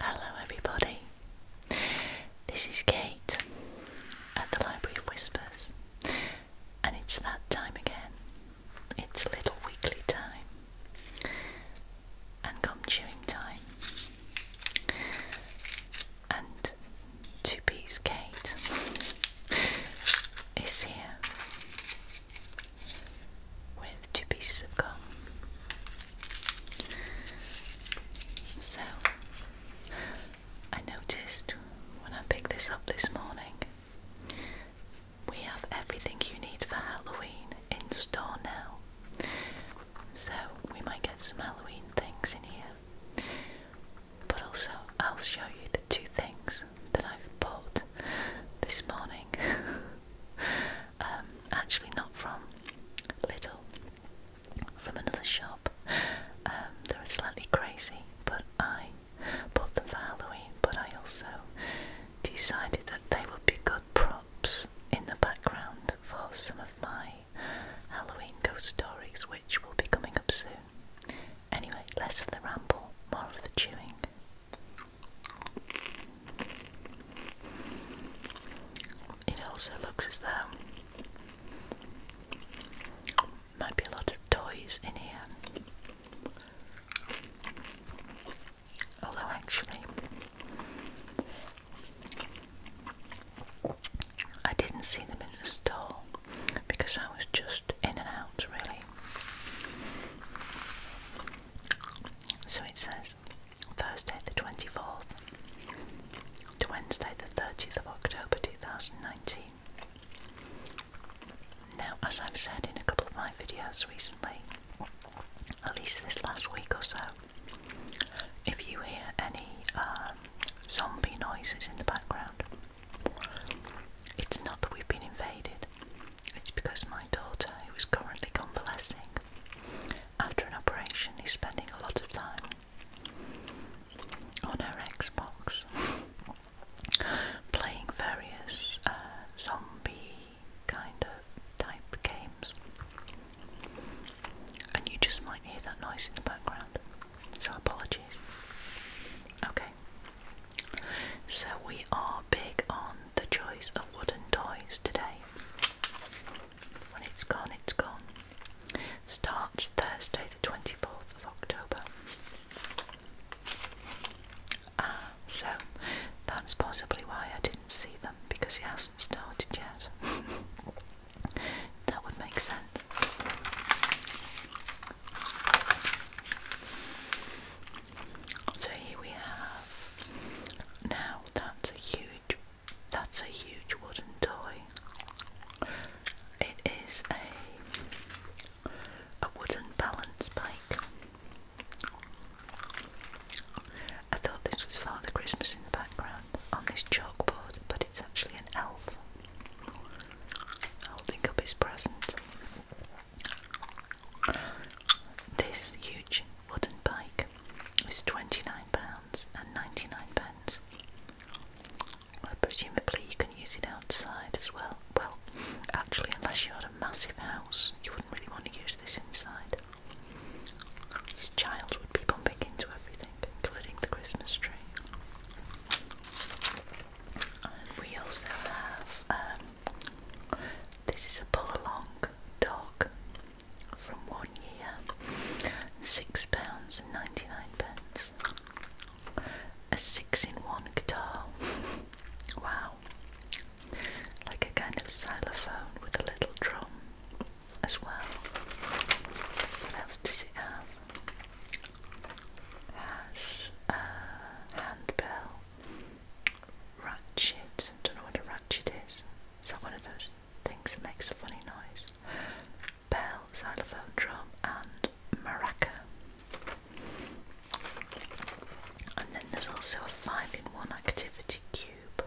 Hello, everybody. This is Kate at the Library of Whispers, and it's that time again. It's little weekly time and gum chewing time. And Two Piece Kate is here with two pieces of gum. So, I noticed when I picked this up this morning, we have everything you need for Halloween in store now. So, we might get some Halloween things in here. But also, I'll show you the two things that I've bought this morning Um, actually not from Little. from another shop. Um, they were slightly crazy, but I bought them for Halloween. But I also decided that they would be good props in the background for some of my Halloween ghost stories, which will be coming up soon. Anyway, less of the ramble, more of the chewing. It also looks as though there might be a lot of toys in here. Although, actually, I didn't see them in the store because I was just in and out, really. So it says Thursday the 24th to Wednesday the 30th of October 2019. Now, as I've said in a couple of my videos recently, at least this last week or so, if you hear any um, zombie noises in the background, it's not that we've been invaded, it's because my daughter, who is currently convalescing after an operation, is spending a lot of time on her Xbox playing various uh, zombie kind of type games. And you just might hear that noise in the background, so apologies. Okay, so we are big on the joys of wooden toys today. When it's gone, it's gone. Starts Thursday, the 24th of October. Ah, so that's possibly why I didn't see them because he hasn't started yet. that would make sense. So here we have now that's a huge that's a huge wooden toy. It is a a wooden balance bike. I thought this was Father Christmas in the background on this chalkboard, but it's actually an elf holding up his present. This huge wooden bike is £29.99. and Presumably, you can use it outside as well. Well, actually, unless you had a massive house, you wouldn't really want to use this inside. This child would be bumping into everything, including the Christmas tree. we also have um, this is a pull along dog from one year, six pounds and ninety nine pence. A six in one guitar. wow. Like a kind of xylophone with a little drum as well. What else does it have? Has a handbell, ratchet. Don't know what a ratchet is. Is one of those things that makes a funny noise? Bell, xylophone, drum, and maraca. And then there's also a five in one activity cube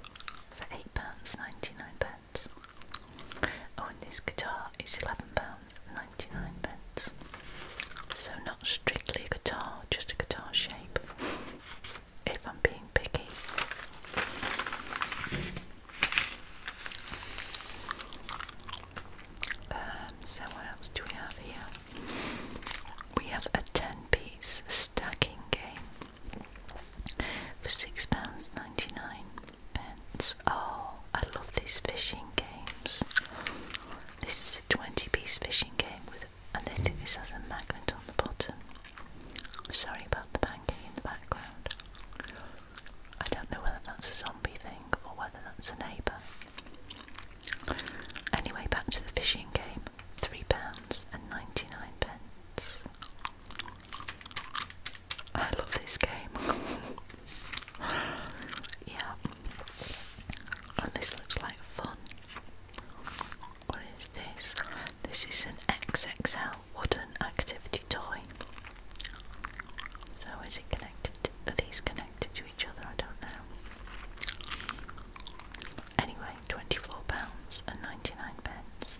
for eight pounds ninety nine pence. Oh, and this guitar is eleven pounds ninety nine pence. So not strictly a guitar, just a guitar shape if I'm being picky. Um, so, what else do we have here? We have a 10 piece stacking game for £6.99. Oh, I love these fishing games. This is a 20 piece fishing game with and they do this has a magnet on the bottom. Sorry about the banging in the background. I don't know whether that's a zombie thing or whether that's a neighbour. Anyway, back to the fishing game. Three pounds and ninety-nine pence. I love this game. yeah. And this looks like fun. What is this? This is an XXL wooden activity toy. So is it connected? are these connected to each other? I don't know. Anyway, twenty-four pounds and ninety-nine pence.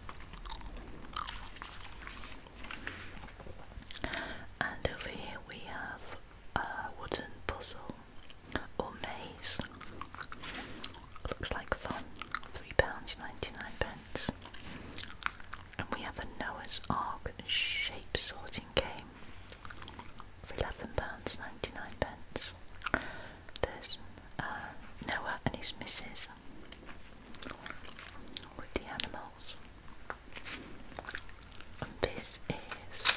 And over here we have a wooden puzzle or maize. Looks like fun. £3.99. And we have a Noah's Ark shape sorting game for £11.99. pence. There's uh, Noah and his missus with the animals. this is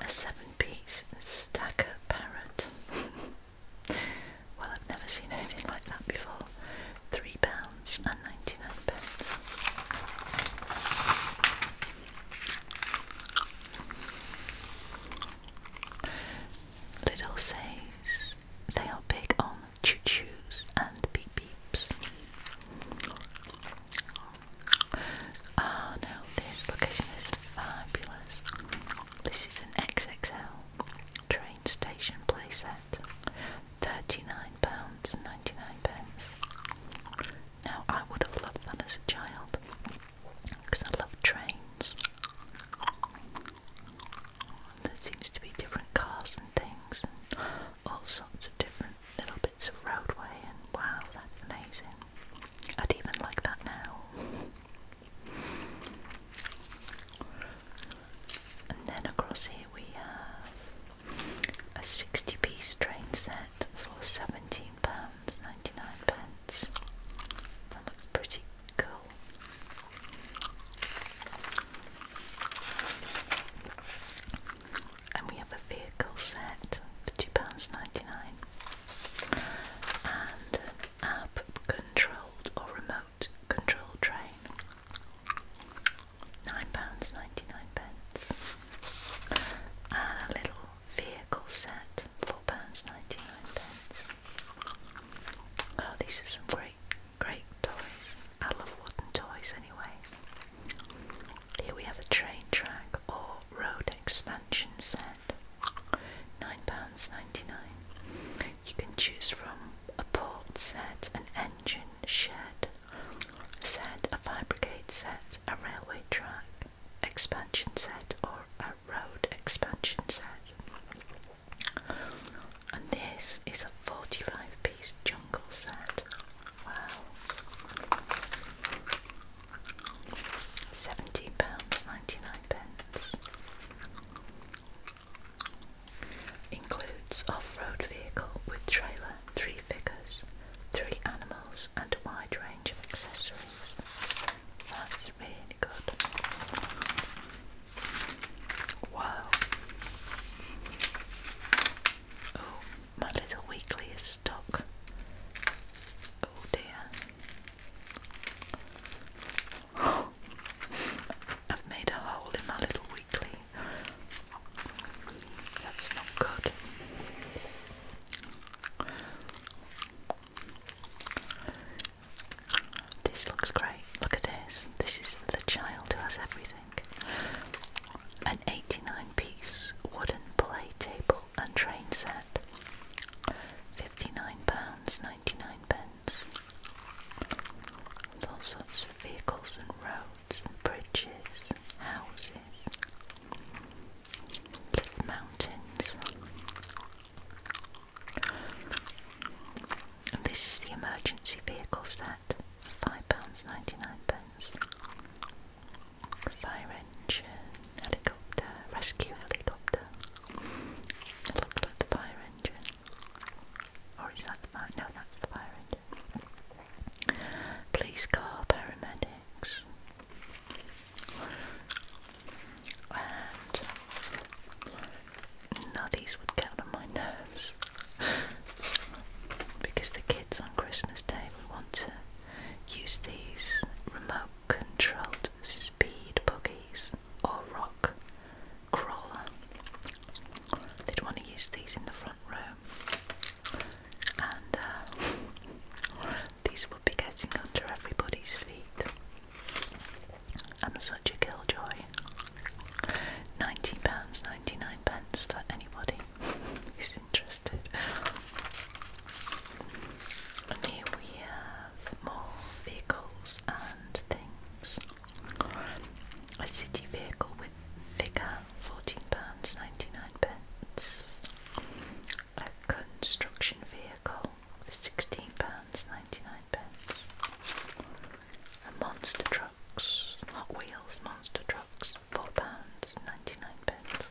a seven-piece stacker parrot. well, I've never seen anything like that before. Three pounds and ninety-nine pence. Little says they are big on choo-choos and beep beeps. Oh no, this look isn't this fabulous? This is an XXL train station playset. £39.99. pence. Now I would have loved that as a child because I love trains. There seems to be different cars and things and all sorts of different little bits of roadway and wow, that's amazing. I'd even like that now. And then across here we have a 60 piece train set for £17.99. That looks pretty cool. And we have a vehicle set for £2.99 and app controlled or remote control train. £9.99 pence. a little vehicle set, £4.99. pence. Oh, these are some great, great toys. I love wooden toys anyway. Here we have a train track or road expansion set £9.99. You can choose from a port set, an engine shed set, a fire brigade set, a railway track expansion set, or a road expansion set. And this is a 45 piece jungle set. Wow. Seventeen pounds ninety nine pence. Includes off-road vehicle with trailer, three figures, three animals, and a wide range of accessories. That's really good. Wow. Oh, my little weekly is stuck. Oh dear. I've made a hole in my little weekly. That's not good. This looks great. Look at this. This is the child who has everything. An 89 piece wooden play table and train set. £59.99. With all sorts of vehicles and roads and bridges, houses, mountains. And this is the emergency vehicle set, £5.99 fire engine, helicopter, rescue helicopter. It looks like the fire engine. Or is that the fire? No, that's the fire engine. Police car, paramedics. And now these would count on my nerves because the kids on Christmas Day would want to use these remote controlled speed buggies or rock crawler. They'd want to use these in the front row, and uh, these would be getting under everybody's feet. I'm such a killjoy. £19.99 pence for anybody who's interested. And here we have more vehicles and things. A city vehicle with figure, £14.99. pence. A construction vehicle for £16.99. A monster trucks, Hot Wheels monster trucks, £4.99. pence.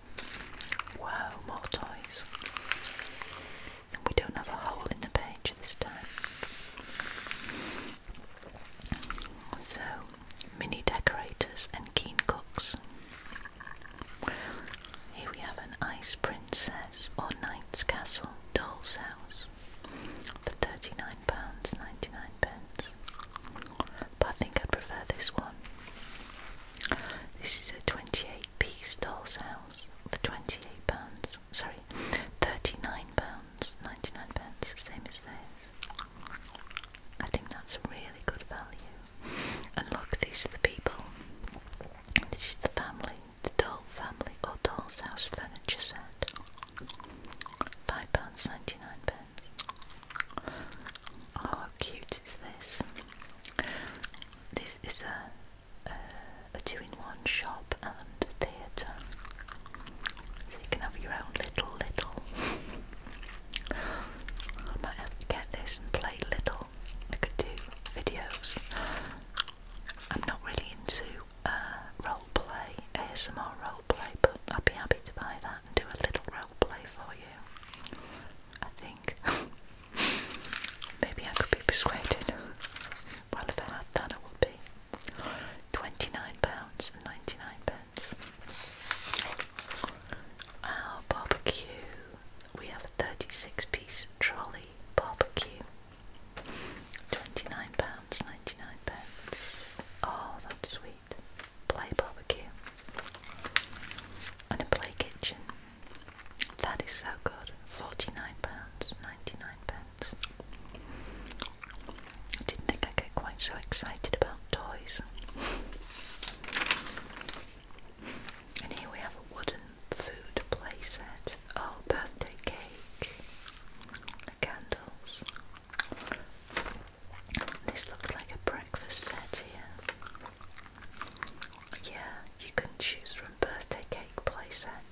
Wow, more toys. And we don't have a hole in the page this time. So, mini decorators and keen cooks. Here we have an ice princess or knight's castle doll's house for £39.99 but I think I would prefer this one. This is a 28 piece doll's house for 28 pounds, sorry, 39 pounds, 99 pence, same as this. I think that's a really good value. And look, these are the people. This is the family, the doll family or doll's house furniture set. £5.99. Oh, how cute is this? This is a, a, two in one shop and theatre, so you can have your own little little. I might get this and play little. I could do videos. I'm not really into uh, role play, ASMR role play, but I'd be happy to buy that and do a little role play for you. I think Maybe I could be persuaded. Well, if I had that, it would be. £29.99. Our barbecue. We have a 36 piece trolley barbecue. £29.99. pence. Oh, that's sweet. Play barbecue and a play kitchen. That is so good. £49.99. Pence. I didn't think I'd get quite so excited about toys. And here we have a wooden food playset. Oh, birthday cake. Candles. This looks like a breakfast set here. Yeah, you can choose from birthday cake playset,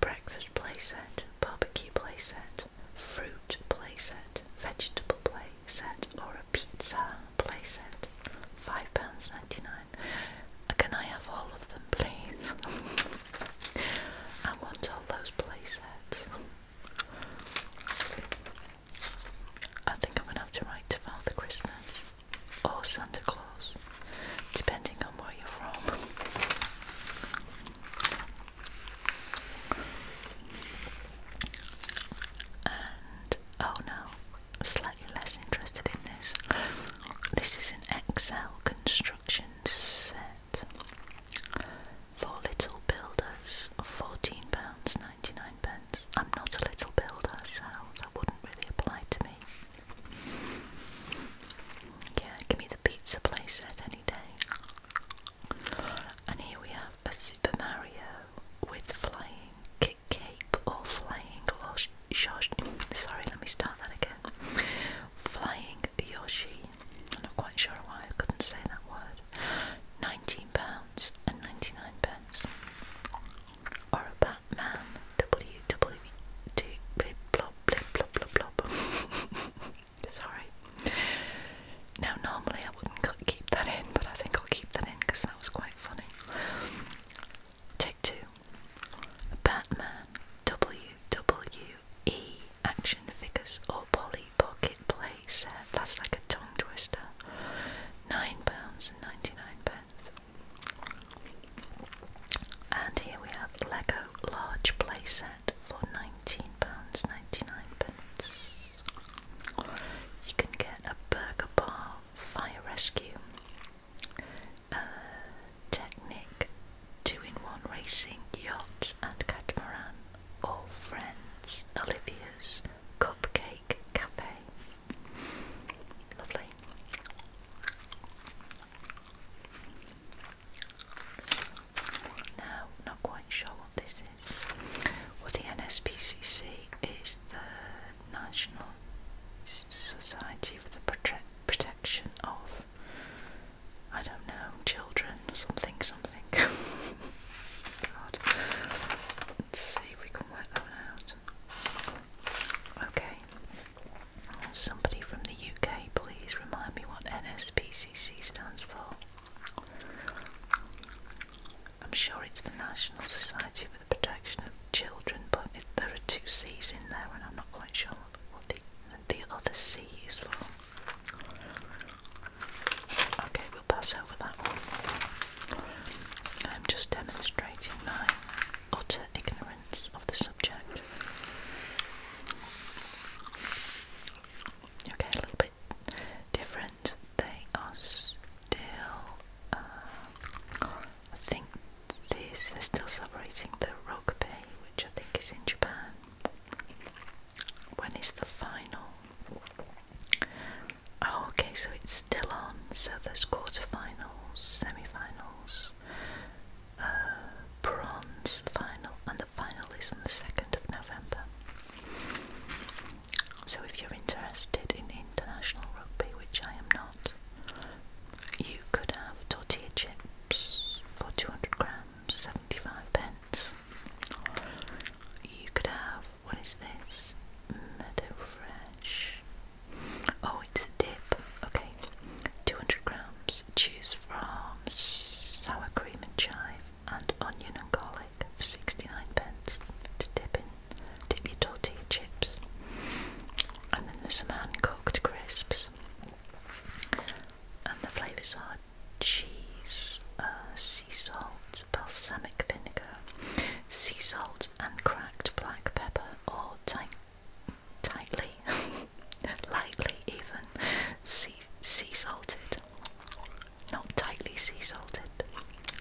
breakfast playset, barbecue playset, fruit playset, vegetable playset, or a pizza playset. £5.99. Can I have all of them, please? I want all those playsets. I think I'm gonna have to write Father Christmas or Santa Claus, depending on where you're from. And oh no, slightly less interested in this. This is an Excel construction set for little builders, £14.99. 99 pence. I'm not a little builder, so that wouldn't really apply to me. Yeah, give me the pizza playset any day. And here we have a Super Mario with flying kick cape or flying Yoshi. Sorry, let me start that again. Flying Yoshi. I'm not quite sure why I couldn't say that word. £19 and 99 pence or Batman. WWD blip blop Sorry. Now normally I wouldn't keep that in, but I think I'll keep that in because that was quite funny. Take two. Batman WWE action figures or Polly Pocket play That's like a tongue twister. 9 pounds and here we have Lego large playset for £19.99. You can get a burger bar, fire rescue, a Technic two-in-one racing yacht and catamaran, or friends, Olivia's Cupcake Cafe. Lovely. Now, not quite sure what this is. Well, the NSPCC is the National Society for the Protection of, I don't know, children, something, something. God. Let's see if we can work that one out. Okay. Somebody from the UK, please remind me what NSPCC stands for. I'm sure it's the National Society for the Protection of Children, but there are two C's in there, and I'm not quite sure what the, the other C is for. Okay, we'll pass over that one. I'm just demonstrating my utter ignorance of the subject. Okay, a little bit different. They are still, uh, I think, they're still celebrating the Bay, which I think is in Japan. When is the final Oh, okay, so it's still on. So there's quarterfinals, semi-finals, uh, bronze final, and the final is on the second of November. So if you're interested in international rugby, which I am not, you could have tortilla chips for 200 grams, 75 pence. You could have what is this? Meadow fresh. Oh, it's a dip. Okay, 200 grams. cheese, from sour cream and chive and onion and garlic 69 pence to dip in. Dip your tortilla chips. And then there's some hand cooked crisps. And the flavours are cheese, uh, sea salt, balsamic vinegar, sea salt, and cracked black pepper, or tightly, lightly even, sea, sea salted. Not tightly sea salted.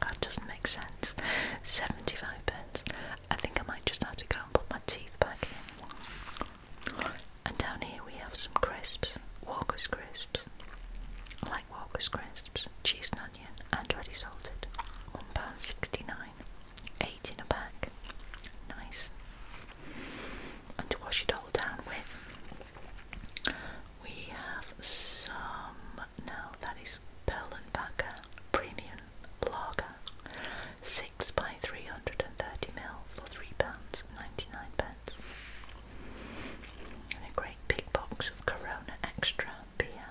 That doesn't make sense. 75 pence. I think I might just have to go and put my teeth back in. And down here we have some crisps, Walker's crisps like Walker's crisps, cheese and onion, and ready salted. £1.69. 8 in a pack. Nice. And to wash it all down with, we have some, now that is Bell & Backer Premium Lager. 6 by 330ml for £3.99. And great big box of Corona Extra beer.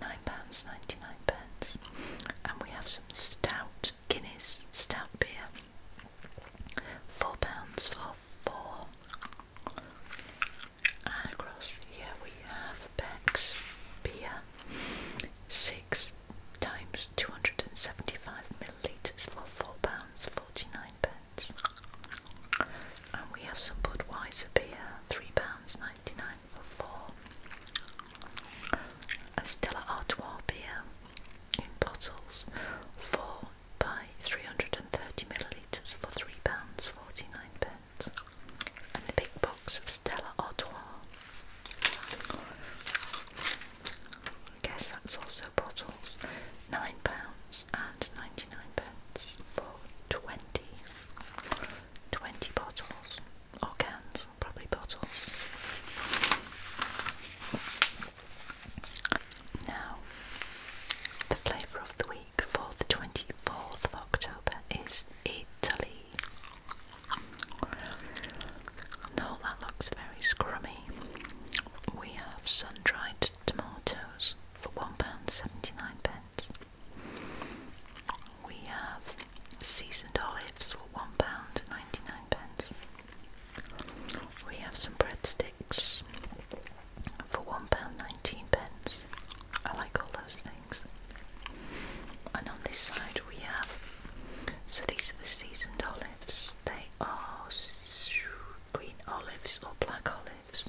£9.99. Pence. And we have some stout Guinness stout beer. £4 for four. And across here we have Beck's beer. Six times 275 millilitres for £4.49. And we have some Budweiser beer, £3.99 for four. A Stella Artois beer in bottles, four by 330 millilitres for £3.49. And a big box of Stella Artois. guess that's also bottles, £9 and 99 pence for 20, bottles or cans, probably bottles. Now, the flavour of the week for the 24th October is Italy. No, that looks very scrummy. We have sun dried tomatoes for £1.79. We have seasoned olives for one pound ninety nine pence. We have some breadsticks for one pound nineteen pence. I like all those things. And on this side we have, so these are the seasoned olives. They are green olives or black olives.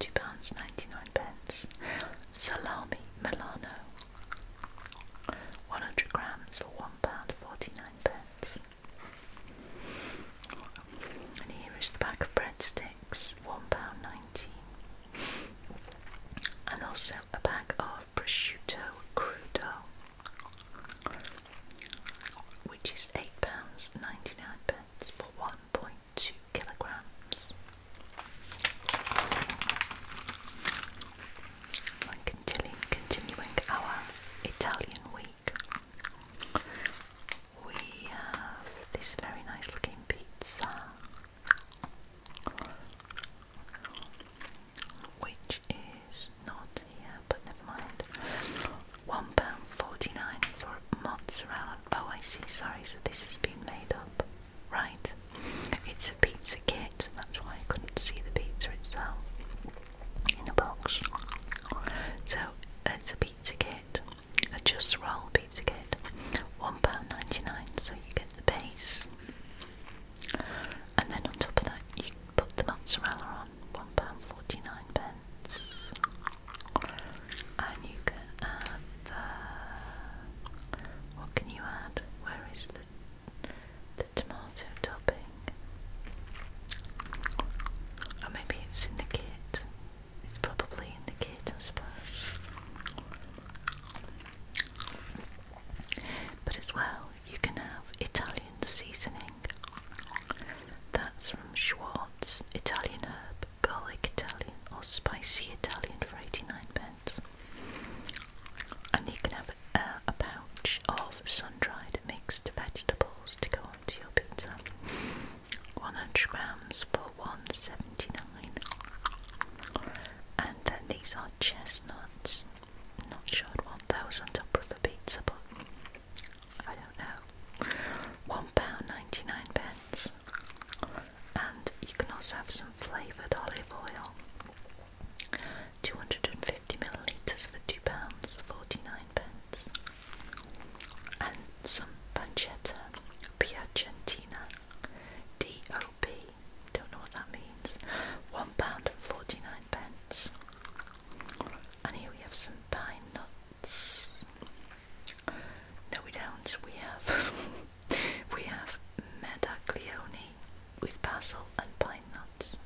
£2.99. Pence. Salami Milano. 100 grams for £1.49. And here is the pack of breadsticks, £1.19. And also a pack of prosciutto crudo, which is £8.99 for 1.2 kilograms. continuing, continuing our Italian week, we have this very nice looking pizza. Which is not here, but never mind. One pound forty nine for mozzarella. Oh, I see, sorry, so this has been made up. Right, it's a pizza kit, that's why I couldn't see the pizza itself in a box. So it's a pizza kit, a just roll pizza kit, One pound ninety nine, so you get the base. And then on top of that, you put the mozzarella on, £1.49 and you can add the what can you add? Where is the the tomato topping? Or maybe it's in the kit. It's probably in the kit I suppose. But as well you can have Italian seasoning that's from Schwartz, Italian herb, garlic Italian or spicy Italian for 89 pence. And you can have uh, a pouch of sun-dried mixed vegetables to go onto your pizza. 100 grams for 179. And then these are chestnuts. Not sure I'd want those on top of a pizza, but I don't know, £1.99 pence. And you can also have some flavoured olive oil. 250 millilitres for £2.49. pence, And some pancetta piacentina DOP. Don't know what that means. One pound forty nine pence, And here we have some pine nuts. No, we don't. We have we have Medaglione with basil and pine nuts.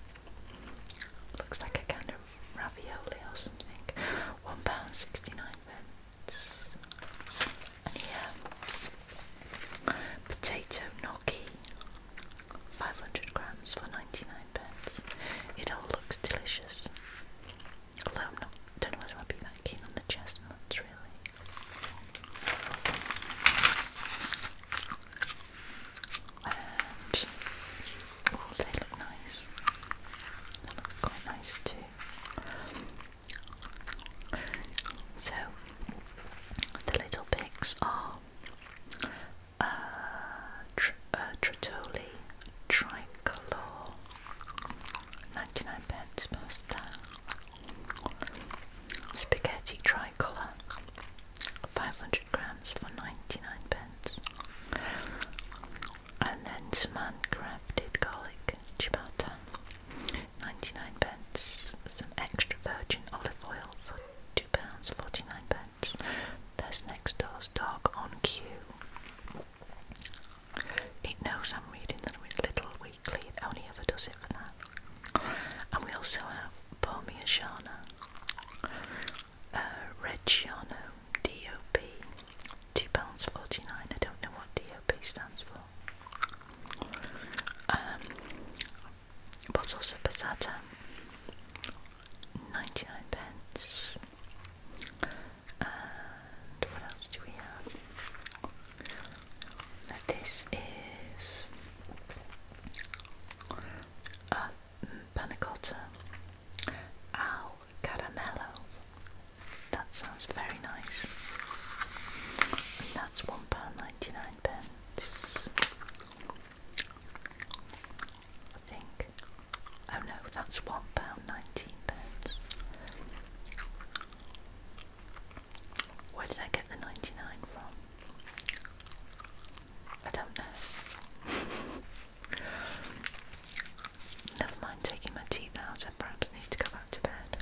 Looks like a kind of ravioli or something. One pound sixty nine pence. And yeah, potato gnocchi. 500 grams for 99 pence. It all looks delicious. Although i don't know whether I'd be that keen on the chestnuts really. And oh, they look nice. That looks quite nice too. So the little pigs are uh, uh, Tritoli Tricolor, 99 pence pasta, spaghetti tricolor, 500 grams for 99 pence, and then some handcrafted garlic ciabatta, 99 pence, some extra virgin olive oil for £2.49. pence. There's next door's dog on cue. It knows I'm reading the Little Weekly, it only ever does it for that. And we also have Pomia Shana, uh, Red DOP, £2.49. I don't know what DOP stands for. Um, bottles of passata, 99 pence what else do we have? this is a panna caramello. That sounds very nice. that's one pound ninety nine pence. I think. Oh no, that's £1.19. Pence. Where did I get the 99 from? I don't know. Never mind taking my teeth out, I perhaps need to go back to bed.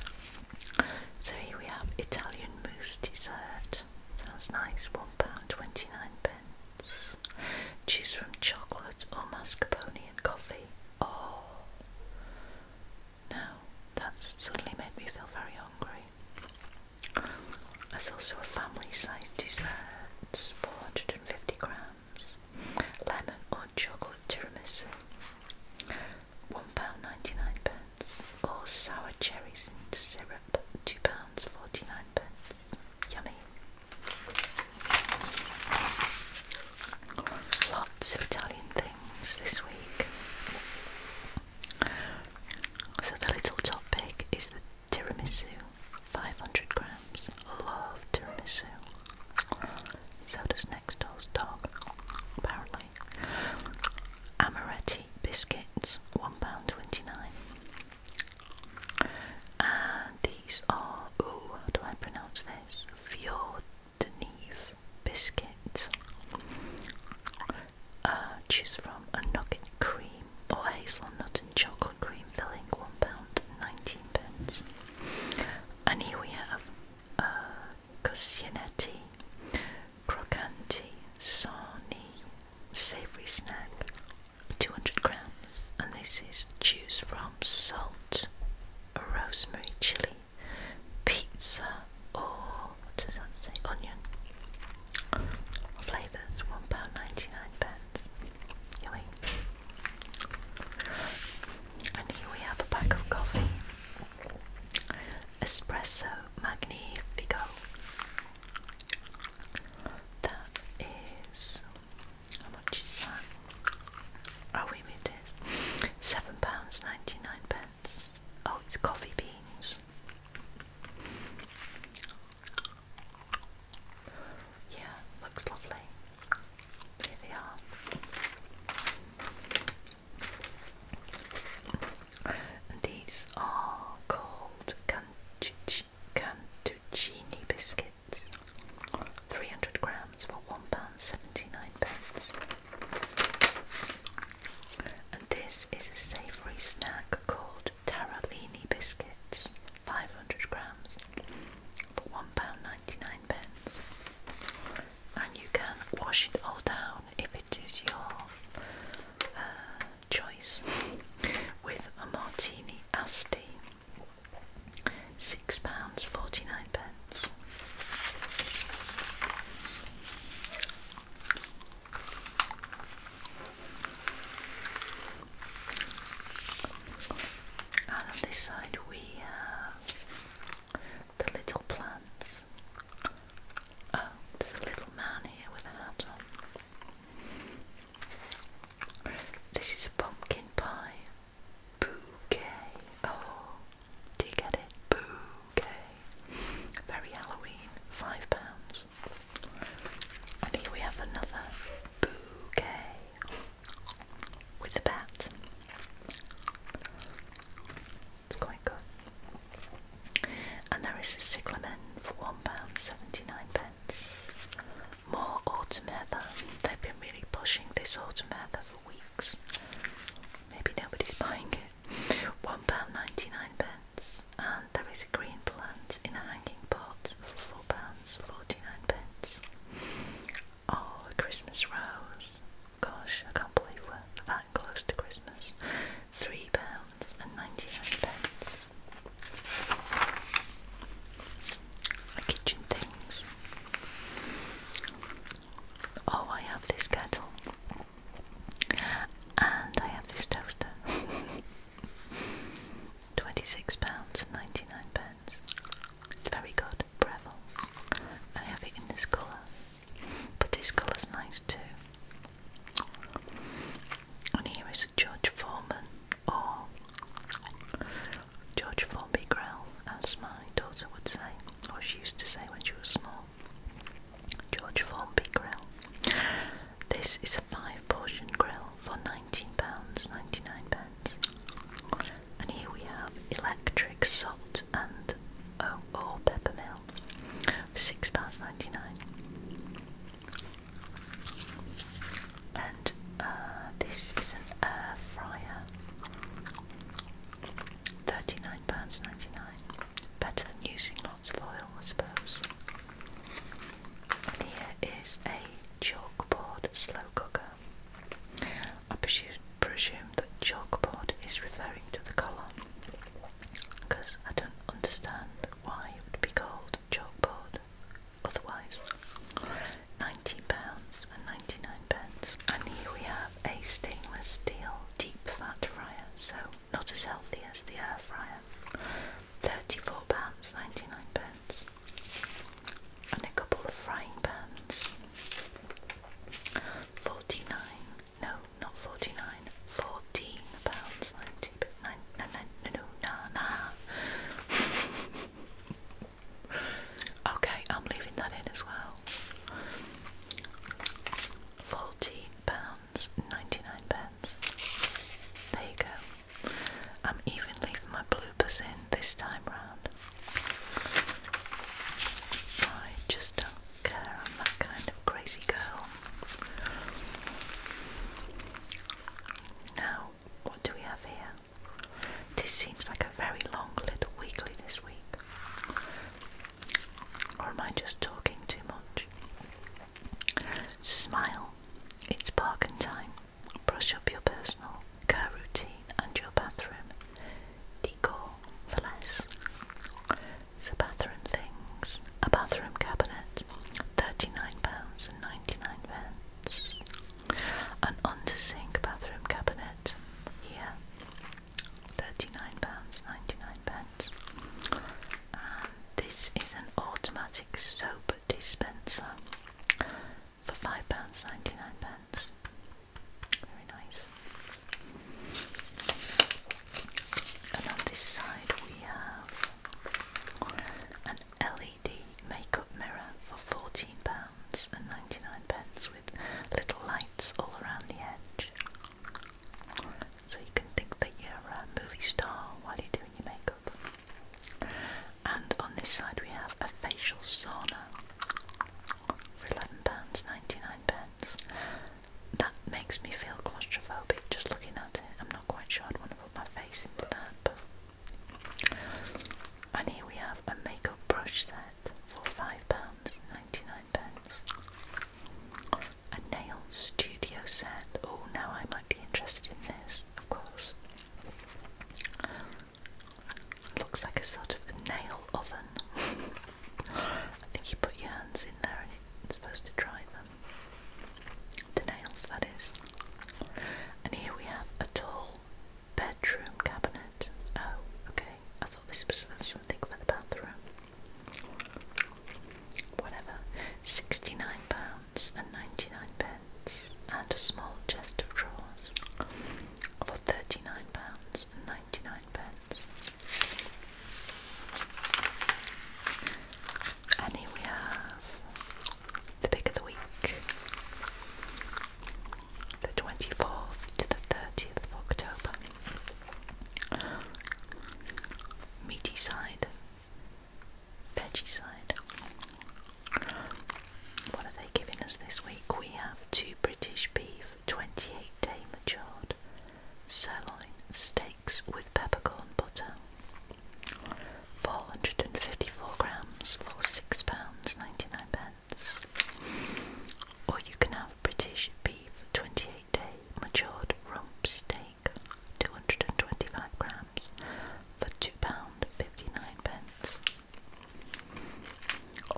So here we have Italian mousse dessert. That's nice, £1.29. Choose from chocolate or mascarpone and coffee. Oh, now that's suddenly made me feel very hungry. That's also a family sized dessert 450 grams, lemon or chocolate tiramisu, one pound ninety-nine pence, or sour cherries in syrup, £2.49. pence. Yummy. Lots of Italian things this week. So the little topic is the tiramisu, 500 grams. Love tiramisu. So does next door's dog, apparently. Amaretti biscuits, one pound twenty nine. And these are, oh, how do I pronounce this? Fjordneve biscuits. Uh, choose from a nugget cream or hazelnut and chocolate cream filling, One pound, nineteen Pence. And here we have uh, Coscianetti, Crocanti, Sarni, Savoury Snack, 200 grams, and this is choose from salt, rosemary, chili, pizza, or what does that say? Onion. Flavours £1.99. Yummy. And here we have a pack of coffee Espresso Magnifico. That is how much is that? Oh, we made Seven pounds ninety nine pence. Oh, it's coffee beans. Yeah, looks lovely. Here they are. these are called cantuccini biscuits. 300 grams for £1.79. And this is a savoury snack called Taralini biscuits, 500 grams for £1.99. And you can wash it all down if it is your uh, choice with a martini asti six pounds forty nine pence. And on this side we have the little plants. Oh, there's a little man here with a hat on. This is a pumpkin pie. Bouquet. Oh, do you get it? Bouquet. Very Halloween. Five pounds. And here we have another bouquet with the bat. It's quite good. And there is a cyclamen for £1.79 more automata. They've been really pushing this automata for weeks. Maybe nobody's buying it. £1.99 pence. And there is a green plant in a hanging pot for £4.49 pence. Oh, a Christmas rose. Gosh, I can't believe we're that close to Christmas. £3.99 and pence kitchen things. Oh, I have this kettle, and I have this toaster. Twenty-six pounds and ninety-nine pence. It's very good, Breville. I have it in this colour, but this colour's nice too. And here is George Foreman or George Formby Grill, as my daughter would say, or she used to say when she was small. George Formby Grill. This is a five portion grill for £19.99. And here we have electric salt and oh, or peppermill, £6.99 and uh, this is an air fryer. £39.99. Better than using lots of oil, I suppose. And here is a chalkboard slow cooker. I presume, presume that chalkboard is referring to the colour because I don't understand why it would be called chalkboard otherwise. ninety pounds and 99 pence. And here we have a stainless steel deep fat fryer, so not as healthy as the air fryer. £34.99. pence. And a couple of frying pans. 49 no, not 49 14 pounds 90 but Okay, I'm leaving that in as well. Forty pounds ninety-nine pence. There you go. I'm even leaving my bloopers in this time round. I just don't care. I'm that kind of crazy girl. Now, what do we have here? This seems like a very long little weekly this week. Or am I just talking too much? Smile. It's bargain time. Brush up your personal care routine and your bathroom. Decor for less. So bathroom things. A bathroom cabinet. £39.99. An under-sink bathroom cabinet here, £39.99. And this is an automatic soap dispenser for £5.99. Very nice. And on this side we have an LED makeup mirror for £14.99 with little lights all around the edge. So you can think that you're a movie star while you're doing your makeup. And on this side we have a facial sauna for £11.99. That makes me feel claustrophobic just looking at it. I'm not quite sure I'd want to put my face into that, but and here we have a makeup brush set for £5.99. pence. A nail studio set. Oh, now I might be interested in this, of course. Looks like a sort of nail oven. I think you put your hands in there and it's supposed to dry them. The nails, that is. And here we have a tool bedroom cabinet. Oh, okay. I thought this was something for the bathroom. Whatever. Sixty-nine pounds and ninety-nine pence, and a small chest of drawers for thirty-nine pounds and ninety-nine pence. And here we have the pick of the week, the 24th to the 30th of October. Meaty side, veggie side. What are they giving us this week? We have two British beef, 28 day matured sirloin steaks with peppercorn butter. 454 grams for £6.99. Or you can have British beef 28 day matured rump steak, 225 grams for £2.59.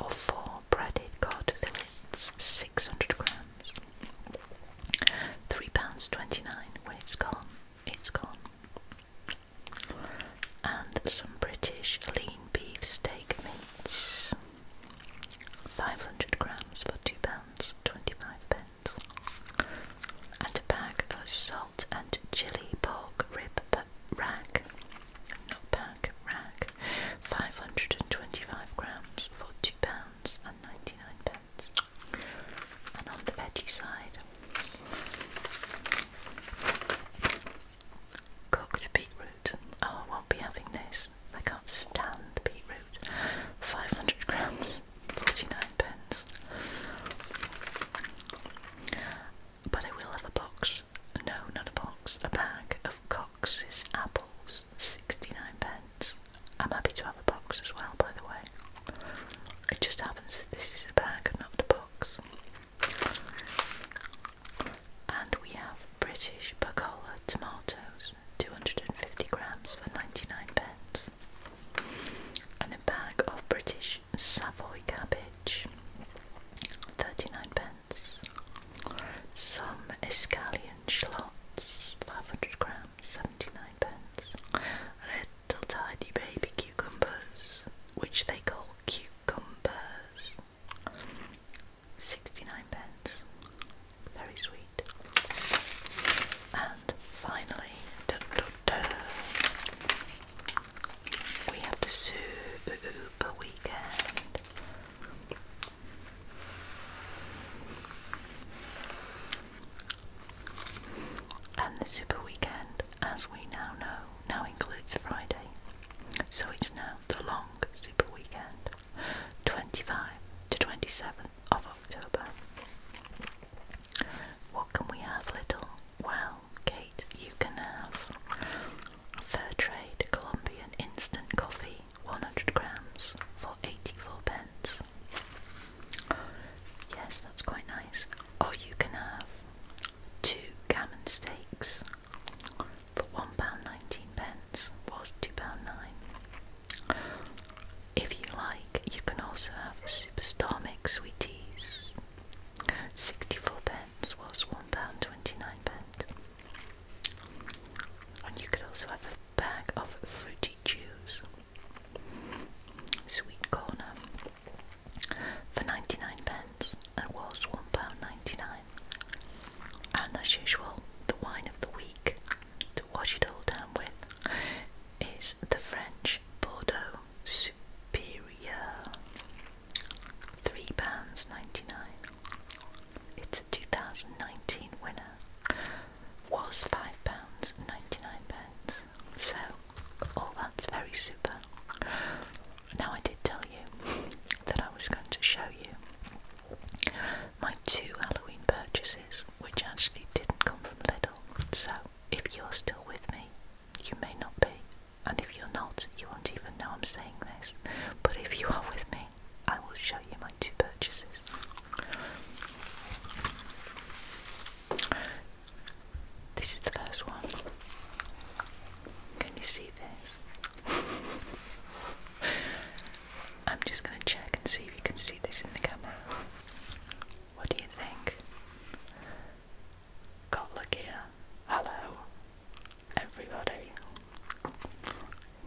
Or four breaded cod fillets, 600 grams. £3.29 when it's gone. It's gone and some British lean beef steak mince. 500 grams for £2.25 pence. and a bag of salt and chili pork rib rack, not pack, rack, 525 grams for £2.99 and pence. and on the veggie side Cooked beetroot. Oh, I won't be having this. I can't stand beetroot. 500 grams, 49 pence. But I will have a box, no, not a box, a bag of Cox's apples, 69 pence. I'm happy to have a box as well, by the way. It just happens that this is a bag and not a box. And we have British Bacola tomatoes, 250 grams for 99 pence. And a bag of British Savoy cabbage, 39 pence. Some escallion schlots, 500 grams, 79 pence. Red till tidy baby cucumbers, which they call cucumbers. 69 pence. Very sweet. And finally, dun, we have the super weekend. And the super weekend, as we now know, now includes Friday, so it's now the long super weekend, 25 to 27th of October. What can we have, little? Well, Kate, you can have Fair Trade Colombian instant coffee, 100 grams for 84 pence. Yes, that's quite nice. Or you can have two gammon steaks for pound nineteen pence was 2 pounds nine. If you like, you can also have a superstar mix sweeties. 64 pence was one pound twenty nine pence. And you could also have a bag of fruity chews. Sweet corner for 99 pence and was one pound ninety nine. And as usual, the wine of the week to wash it all down with is the French Bordeaux Superior. £3.99. It's a 2019 winner. Was £5.99. pence. So, all that's very super. Now, I did tell you that I was going to show you my two Halloween purchases, which actually didn't come from Little. So, if you're still with me, you may not be, and if you're not, you won't even know I'm saying this. But if you are with me, I will show you my two purchases. This is the first one. Can you see this? I'm just going to check and see if you can see this in the camera. What do you think? Got luck here. Hello, everybody.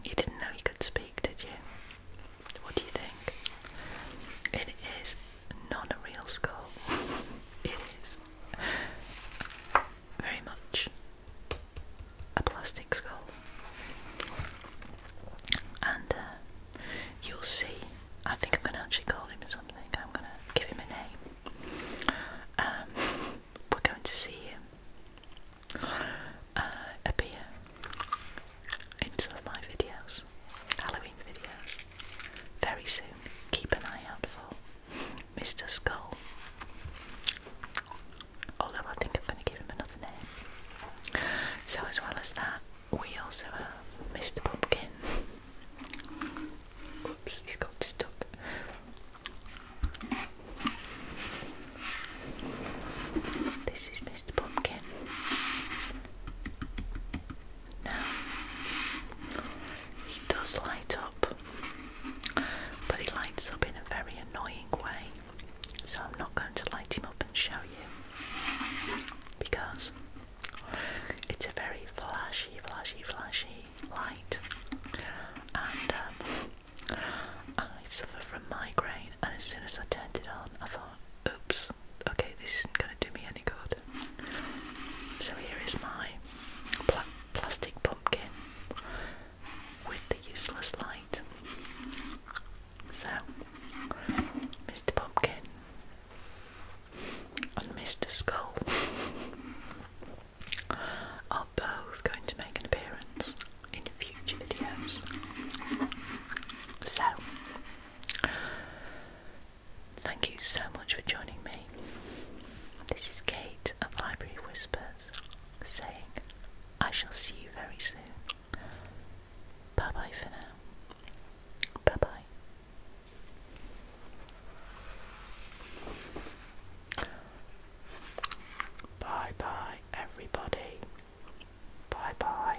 You didn't know you could speak, did you? What do you think? It is not a real skull. It is very much a plastic skull, and uh, you'll see. I think I'm going to actually call him something. I'm going to give him a name. Um, we're going to see him uh, appear in some of my videos, Halloween videos, very soon. Keep an eye out for. Mr. Skull. Although I think I'm going to give him another name. So, as well as that, we also have Mr. Pumpkin. Oops, he's got stuck. This is Mr. Pumpkin. Now, he does light up but he lights up in a very annoying way, so I'm not going to light him up and show you because it's a very flashy, flashy, flashy light, and um, I suffer from migraine. And as soon as I turned it on, I thought, "Oops, okay, this isn't going to do me any good." So here is my black plastic pumpkin with the useless light. So, Mr. Pumpkin and Mr. Skull are both going to make an appearance in future videos. So, Thank you so much for joining me. This is Kate of Library Whispers saying, I shall see you very soon. Bye bye for now. Bye bye. Bye bye, everybody. Bye bye.